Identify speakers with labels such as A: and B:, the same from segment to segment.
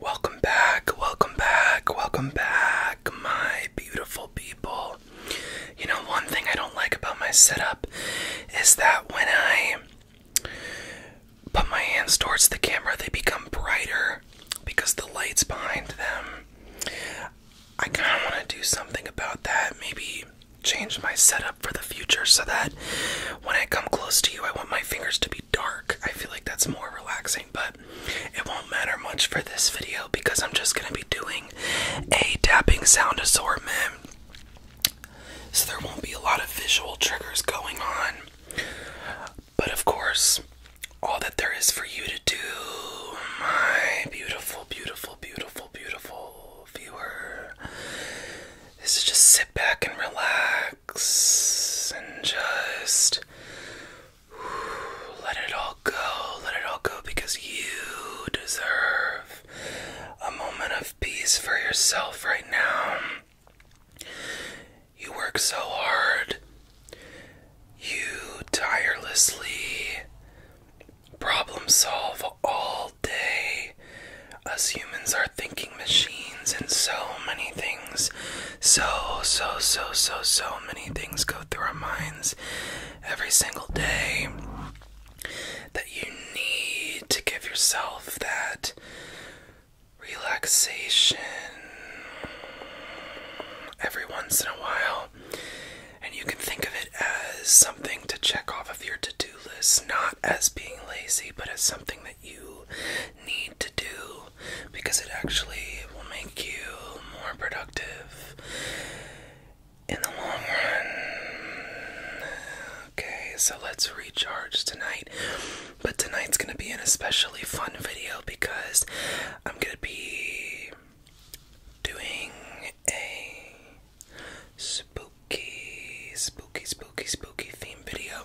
A: Welcome back, welcome back, welcome back, my beautiful people. You know, one thing I don't like about my setup is that when I put my hands towards the camera, they become brighter because the light's behind them. I kind of want to do something about that, maybe change my setup for the future so that when I come close to you, I want my fingers to be dark. I feel like that's more relaxing, but it won't matter much for this video because I'm just going to be doing a tapping sound assortment. So there won't be a lot of visual triggers going on. But of course, all that there is for you to do, my beautiful, beautiful, beautiful, beautiful viewer, is to just sit back and relax and just let it all go. Let it all go because you deserve a moment of peace for yourself right now. You work so hard. You tirelessly problem solve all day. Us humans are thinking machines, and so many things so, so, so, so, so many things go through our minds every single day that you need to give yourself that relaxation every once in a while. And you can think of it as something to check off of your to do list, not as being lazy, but as something that you need to do because it actually will make you more productive in the long run. Okay, so let's recharge tonight. But tonight's going to be an especially fun video because I'm going to be doing a spooky, spooky, spooky, spooky theme video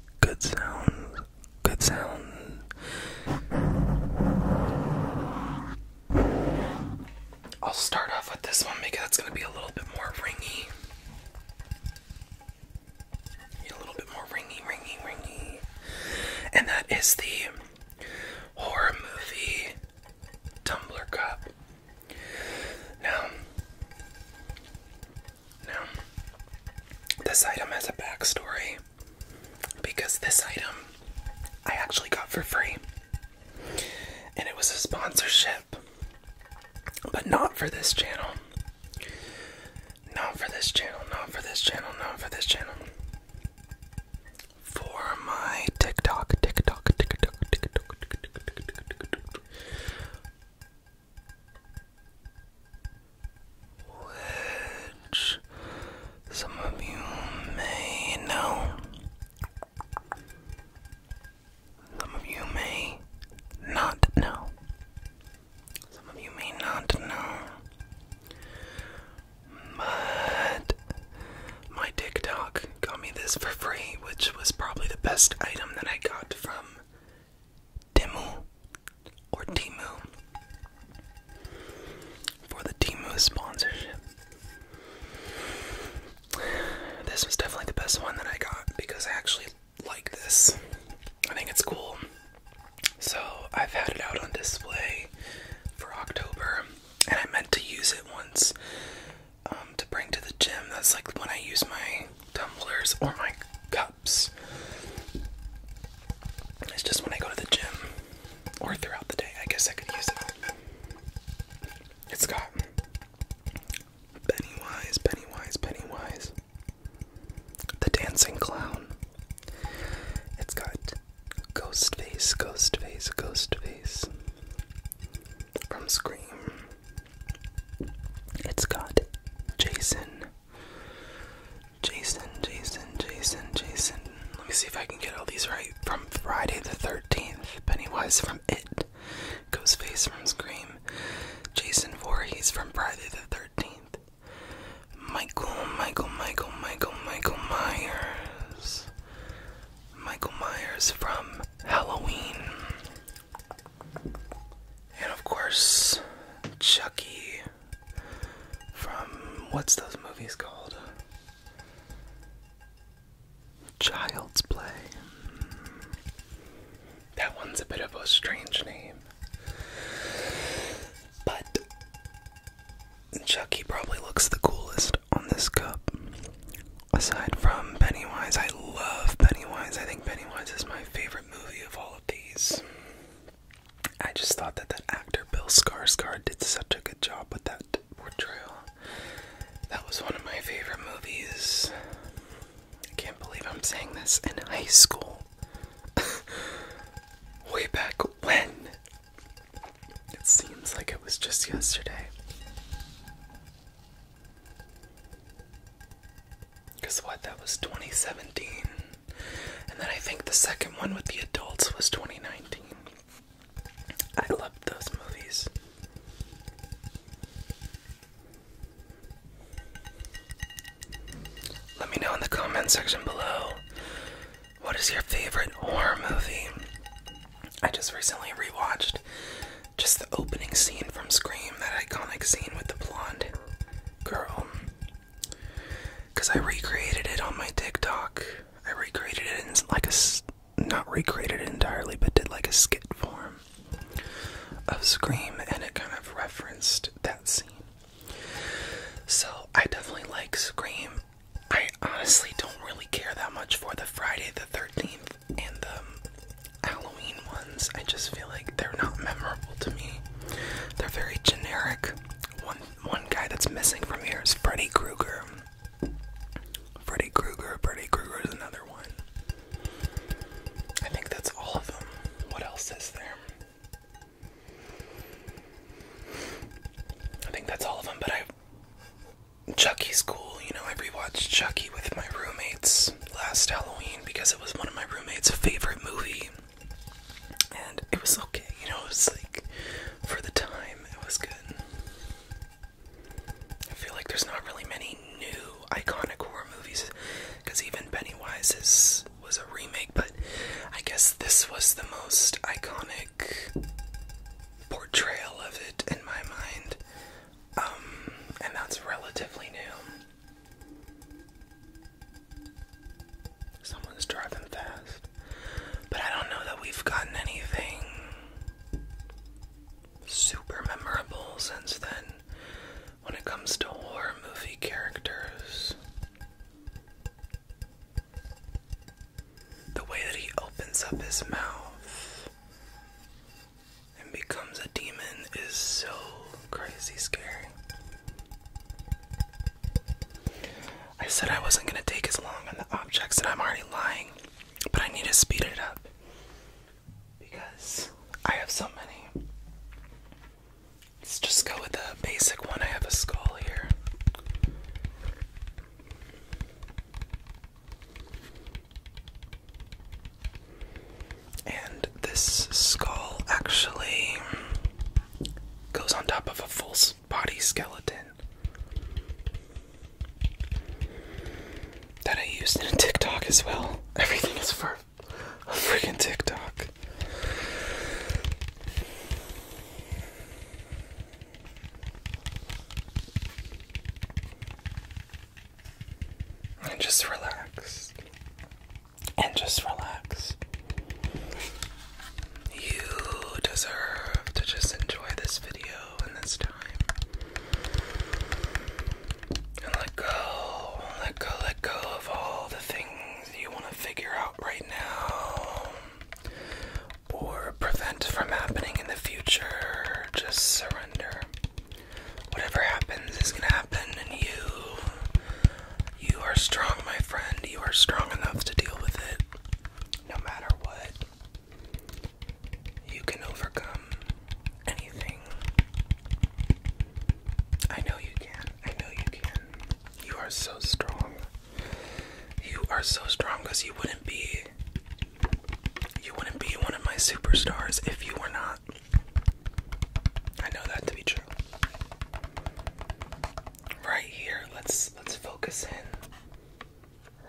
A: good sound. good sound. I'll start off with this one because that's going to be a little bit more ringy. A little bit more ringy, ringy, ringy. And that is the horror movie tumbler cup. Now, now, this item has a backstory because this item I actually got for free. And it was a sponsorship, but not for this channel. Not for this channel, not for this channel, not for this channel. For my TikTok, TikTok, TikTok, TikTok, TikTok, TikTok, TikTok, TikTok which some of you may know, some of you may not know, some of you may not know, but my TikTok got me this for free, which was probably the best item that I got from Dimu or Timu for the Timu sponsorship. This was definitely the best one that I got because I actually like this. I think it's cool. So I've had it out on display for October and I meant to use it once um, to bring to the gym. That's like when I use my tumblers or my cup it's just when I go to the gym or throughout the day. I guess I could use it. It's got Pennywise, Pennywise, Pennywise, the dancing clown. It's got Ghostface, Ghostface, Ghostface from Scream. It's got Jason Jason, Jason, Jason, Jason. Let me see if I can get all these right. From Friday the 13th, Pennywise from It, Ghostface from Scream, Jason Voorhees from Friday the 13th, Michael, Michael, Michael, Michael, Michael Myers, Michael Myers from Halloween, and of course, Chucky from what's those movies called? Child's Play. That one's a bit of a strange name. But Chucky probably looks the coolest on this cup. Aside from Pennywise, I love Pennywise. I think Pennywise is my favorite movie of all of these. I just thought that that actor Bill Skarsgård did such a good job with that portrayal. That was one of my favorite movies. I can't believe I'm saying this in high school. Way back when. It seems like it was just yesterday. Guess what? That was 2017. And then I think the second one with the adults was 2019. I loved those movies. Let me know in the comment section below what is your favorite horror movie. I just recently rewatched just the opening scene from Scream, that iconic scene with the blonde girl. Cause I recreated it on my TikTok. I recreated it in like a not recreated it entirely, but did like a skit form of Scream, and it kind of referenced that scene. So I definitely like Scream. I honestly don't really care that much for the Friday the 13th and the Halloween I just feel like they're not memorable to me. They're very generic. One one guy that's missing from here is Freddy Krueger. Freddy Krueger, Freddy Krueger is another one. I think that's all of them. What else is there? I think that's all of them, but I. Chucky's cool, you know. I rewatched Chucky with my roommates last Halloween because it was one of my roommates' favorite movie and it was okay, you know, it was like for the time it was good. I feel like there's not really many new iconic horror movies because even Pennywise is was a remake, but I guess this was the most iconic portrayal of it in my mind. Um, and that's relatively new. Someone's driving fast. But I don't know that we've gotten anything super memorable since then when it comes to horror movie characters. The way that he opens up his mouth and becomes a demon is so crazy scary. I said I wasn't gonna take as long on the objects, and I'm already lying, but I need to speed it up because I have so many. Let's just go with the basic one. I have a skull here. And this skull actually goes on top of a full body skeleton that I used in a TikTok as well. Everything is for a freaking TikTok. And just relaxed and just relax. You deserve to just enjoy this video and this time. And let go, let go, let go of all the things you want to figure out right now or prevent from happening in the future. Just surrender. Whatever happens is going to happen, and you you are strong, my friend. You are strong enough to deal with it. No matter what, you can overcome anything. I know you can. I know you can. You are so strong. You are so strong because you wouldn't be. You wouldn't be one of my superstars if you were not I know that to be true. Right here, let's let's focus in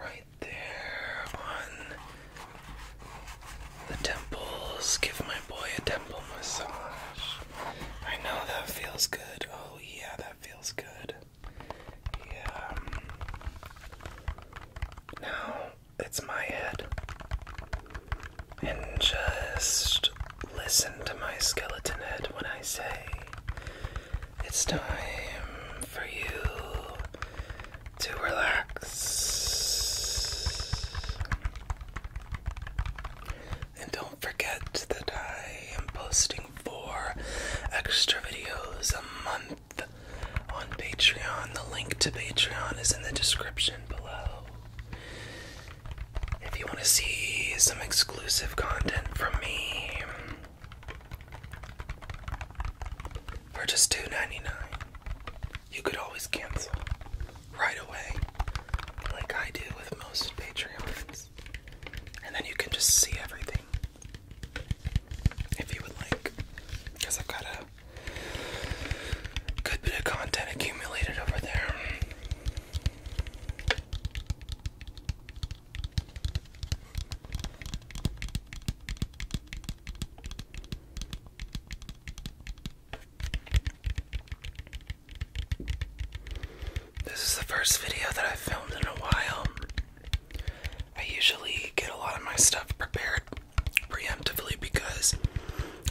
A: right there on the temples. Give my boy a temple massage. I know that feels good. Oh yeah, that feels good. Yeah. Now it's my head. And just listen to my skeleton head when I say it's time for you to relax. And don't forget that I am posting four extra videos a month on Patreon. The link to Patreon is in the description below. If you want to see some exclusive content from me for just $2.99, you could always cancel right away, like I do with most Patreons. And then you can just see everything if you would like, because I've got a good bit of content accumulated over there. This is the first video that I've filmed in a while. I usually get a lot of my stuff prepared preemptively because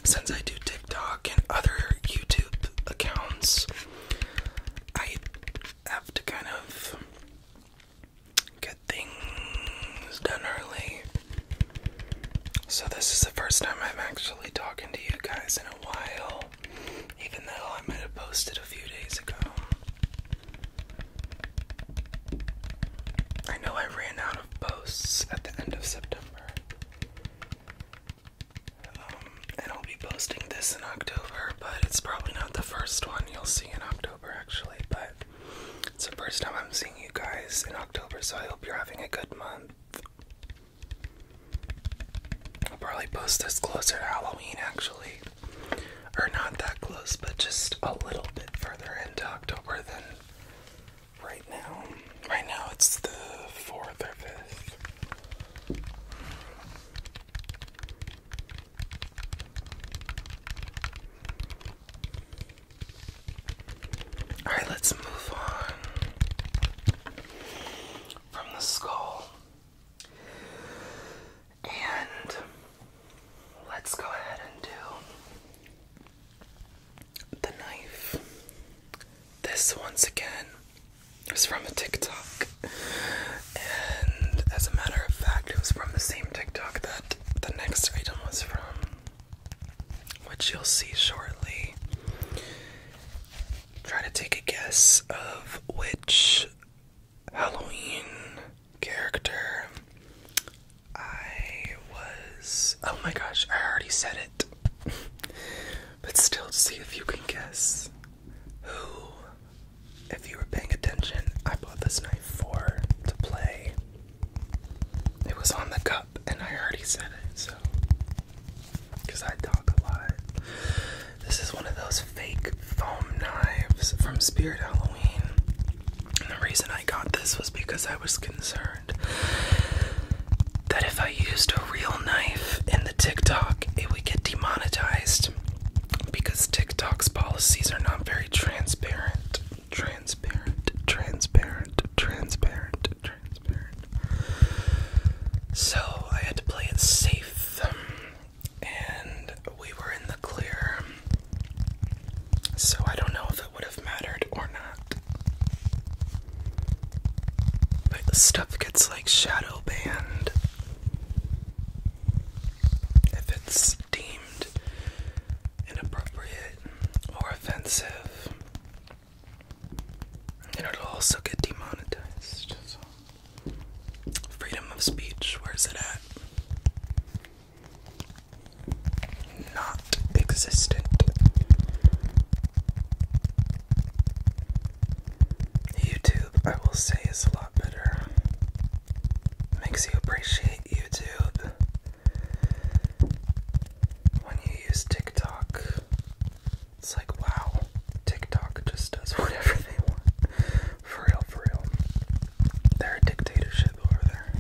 A: since I do TikTok and other YouTube accounts, I have to kind of get things done early. So, this is the first time I'm actually talking to you guys in a while, even though I might have posted a few days ago. I know I ran out of posts at the end of September. Um, and I'll be posting this in October, but it's probably not the first one you'll see in October, actually. But it's the first time I'm seeing you guys in October, so I hope you're having a good month. I'll probably post this closer to Halloween, actually. Or not that close, but just a little bit further into October than right now. Right now it's the 4th or 5th. All right, let's move on from the skull. And let's go ahead and do the knife. This once again is from a TikTok, and as a matter of fact, it was from the same TikTok that the next item was from, which you'll see shortly. Try to take a guess of which Halloween character I was. Oh my gosh, I already said it. But still, see if you can guess who, if you were paying attention, I bought this knife for to play. It was on the cup, and I already said it, so. Because I talk a lot. This is one of those fake foam knives from Spirit Halloween. And the reason I got this was because I was concerned that if I used a real knife in the TikTok, it would get demonetized because TikTok's policies are not very transparent. Transparent, transparent, transparent, transparent. So I had to play it safe, and we were in the clear. So I don't know if it would have mattered or not. But the stuff gets like shadow banned if it's deemed inappropriate or offensive. And it'll also get demonetized. Freedom of speech, where's it at? Not existent. YouTube, I will say, is a lot better. Makes you appreciate YouTube. When you use TikTok, it's like, wow, TikTok just does whatever they want. For real, for real. They're a dictatorship over there.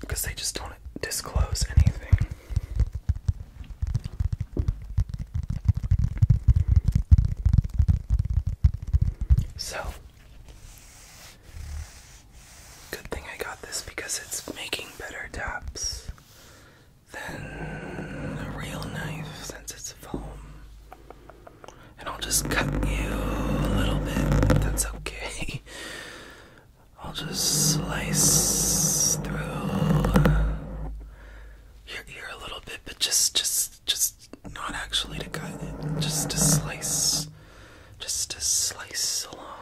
A: Because they just don't disclose anything. So, good thing I got this because it's making better taps than a real knife since it's foam. And I'll just cut you a little bit, that's okay. I'll just slice through. Uh, you're, a little bit, but just, just, just not actually to cut it, just to slice, just to slice along.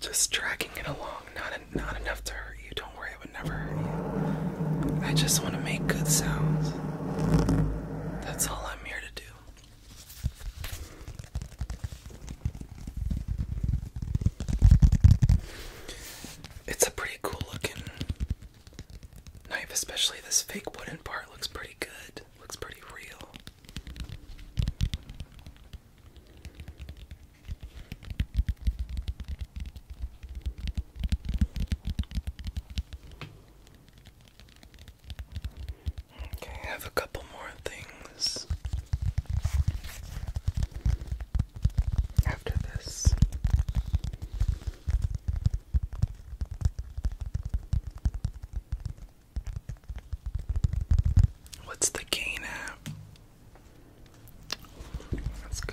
A: Just dragging it along, not not enough to hurt you. Don't worry, it would never hurt you. I just want to make good sounds. That's all I'm here to do. It's a pretty cool looking knife, especially this fake wooden part looks pretty good. Looks pretty real. Okay, I have a couple more things after this. What's the gain app? That's good.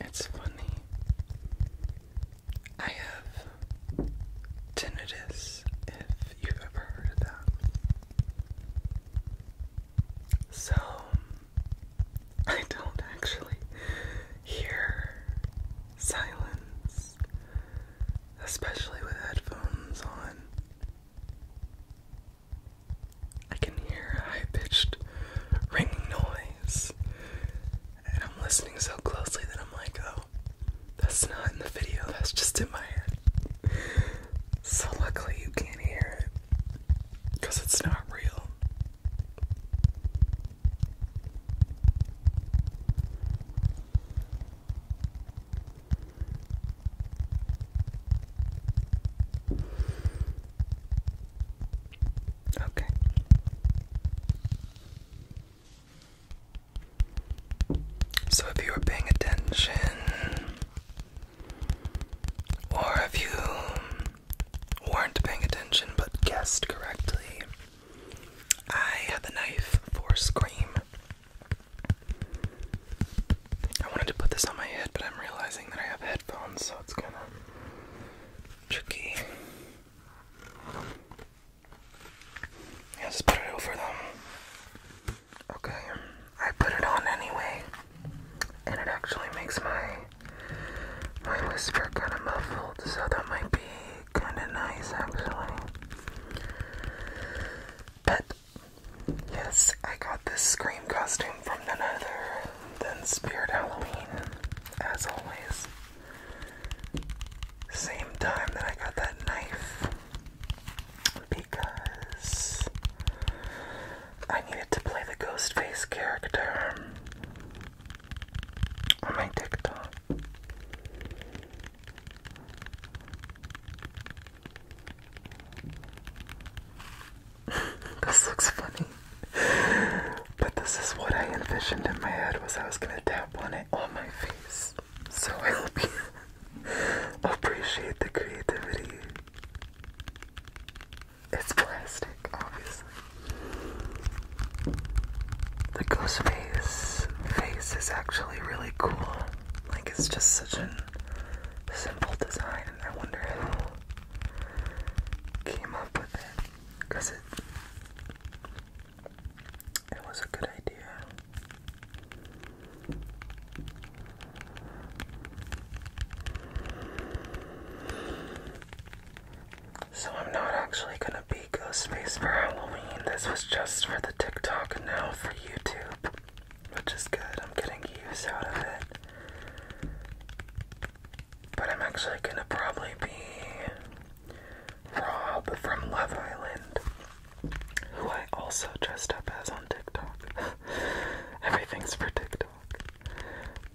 A: It's funny. I have tinnitus, if you've ever heard of that. So, I don't actually hear silence, especially with headphones on. I can hear a high pitched ringing noise. And I'm listening so closely that I'm like, oh, that's not in the video, that's just in my head. So luckily you can't hear it because it's not real. Okay. So if you were paying attention, or if you weren't paying attention but guessed correctly, I had the knife for Scream. I wanted to put this on my head, but I'm realizing that I have headphones, so it's gonna tricky. Yeah, just put it over them. Okay, I put it on anyway, and it actually makes my my whisper kind of muffled, so that might be kind of nice actually. But yes, I got this scream costume from none than Spirit Halloween as always. Same time that I got that knife because I needed to play the Ghostface character on my TikTok this looks funny. But this is what I envisioned in my head was I was gonna tap on it on my face. So I appreciate the creativity. It's plastic, obviously. The ghost face face is actually really cool. Like it's just such a simple design and I wonder who came up with it. Cause it, it was a good idea. So I'm not actually gonna be Ghost for Halloween. This was just for the TikTok now for YouTube. Which is good. I'm getting use out of it. But I'm actually gonna probably be Rob from Love Island, who I also dressed up as on TikTok. Everything's for TikTok.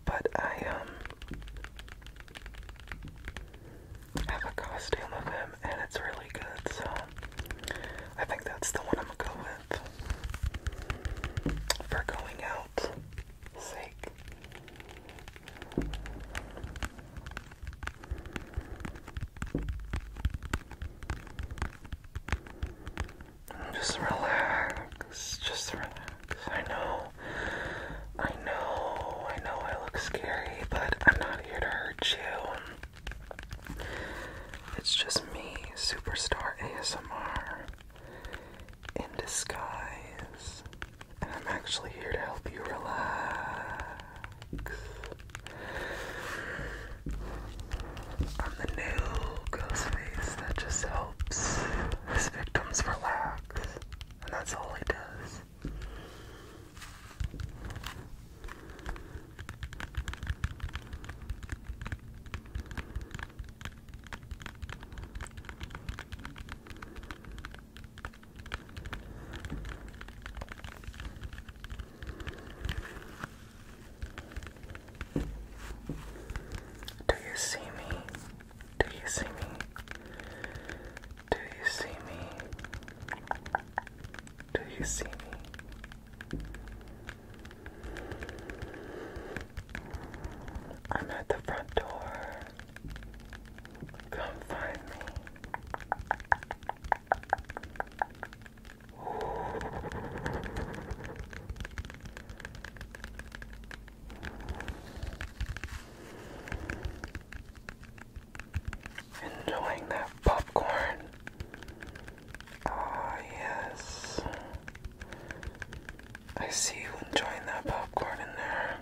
A: But I, um, have a costume of him and it's really good, so I think that's the one I'm gonna go with for going out. Just relax, just relax. I know, I know, I know I look scary, but I'm not here to hurt you. It's just me, Superstar ASMR in disguise, and I'm actually here to help you relax. I'm the new ghost that just helps his victims relax, and that's all he does. Do you see me? Do you see me? Do you see me? Do you see me? I'm at the front door. Come find me. Enjoying that popcorn. Ah, yes. I see you enjoying that popcorn in there.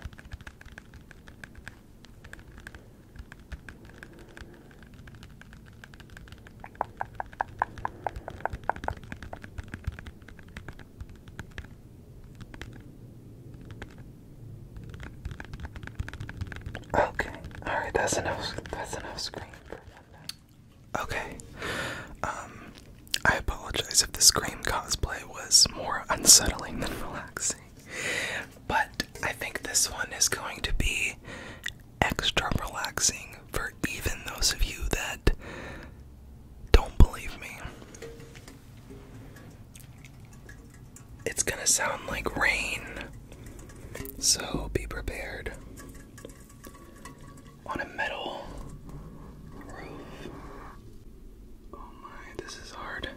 A: Okay, alright, that's enough that's enough screen for one Okay. Um I apologize if the Scream cosplay was more unsettling than relaxing. But I think this one is going to be extra relaxing for even those of you that don't believe me. It's gonna sound like rain, so be prepared. On a metal roof Oh my, this is hard.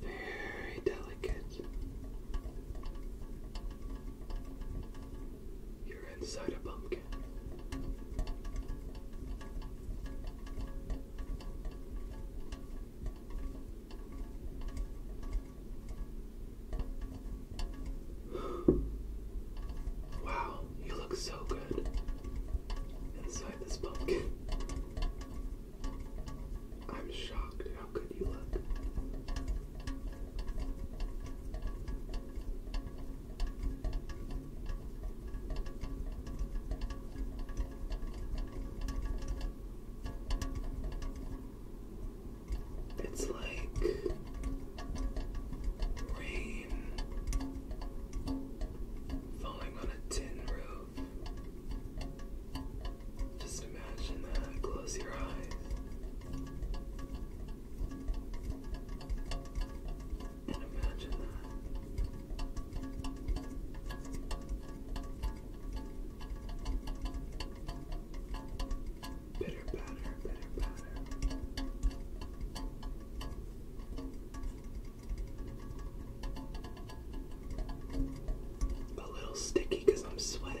A: Very delicate. You're inside a pumpkin. wow, you look so good inside this pumpkin. I'm shocked how good you look. It's like rain falling on a tin roof. Just imagine that. Close your eyes. Bitter batter, bitter batter. A little sticky I'm sweating.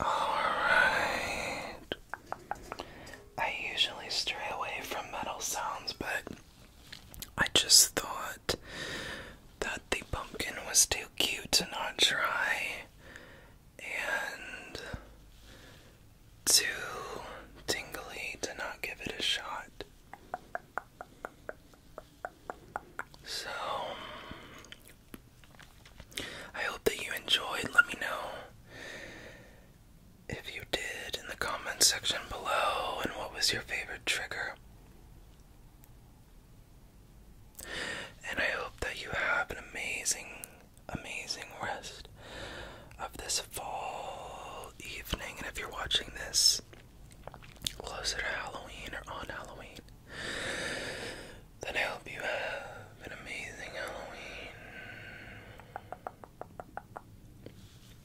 A: Alright. I usually stray away from metal sounds, but I just thought that the pumpkin was too cute to not try and too tingly to not give it a shot. So, I hope that you enjoyed. Let me know if you did in the comments section below and what was your favorite trigger. And I hope that you have an amazing, amazing rest of this fall evening, and if you're watching this closer to Halloween or on Halloween, then I hope you have an amazing Halloween.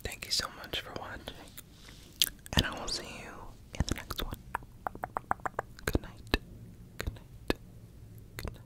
A: Thank you so much for watching, and I will see you in the next one. Good night. Good night. Good night.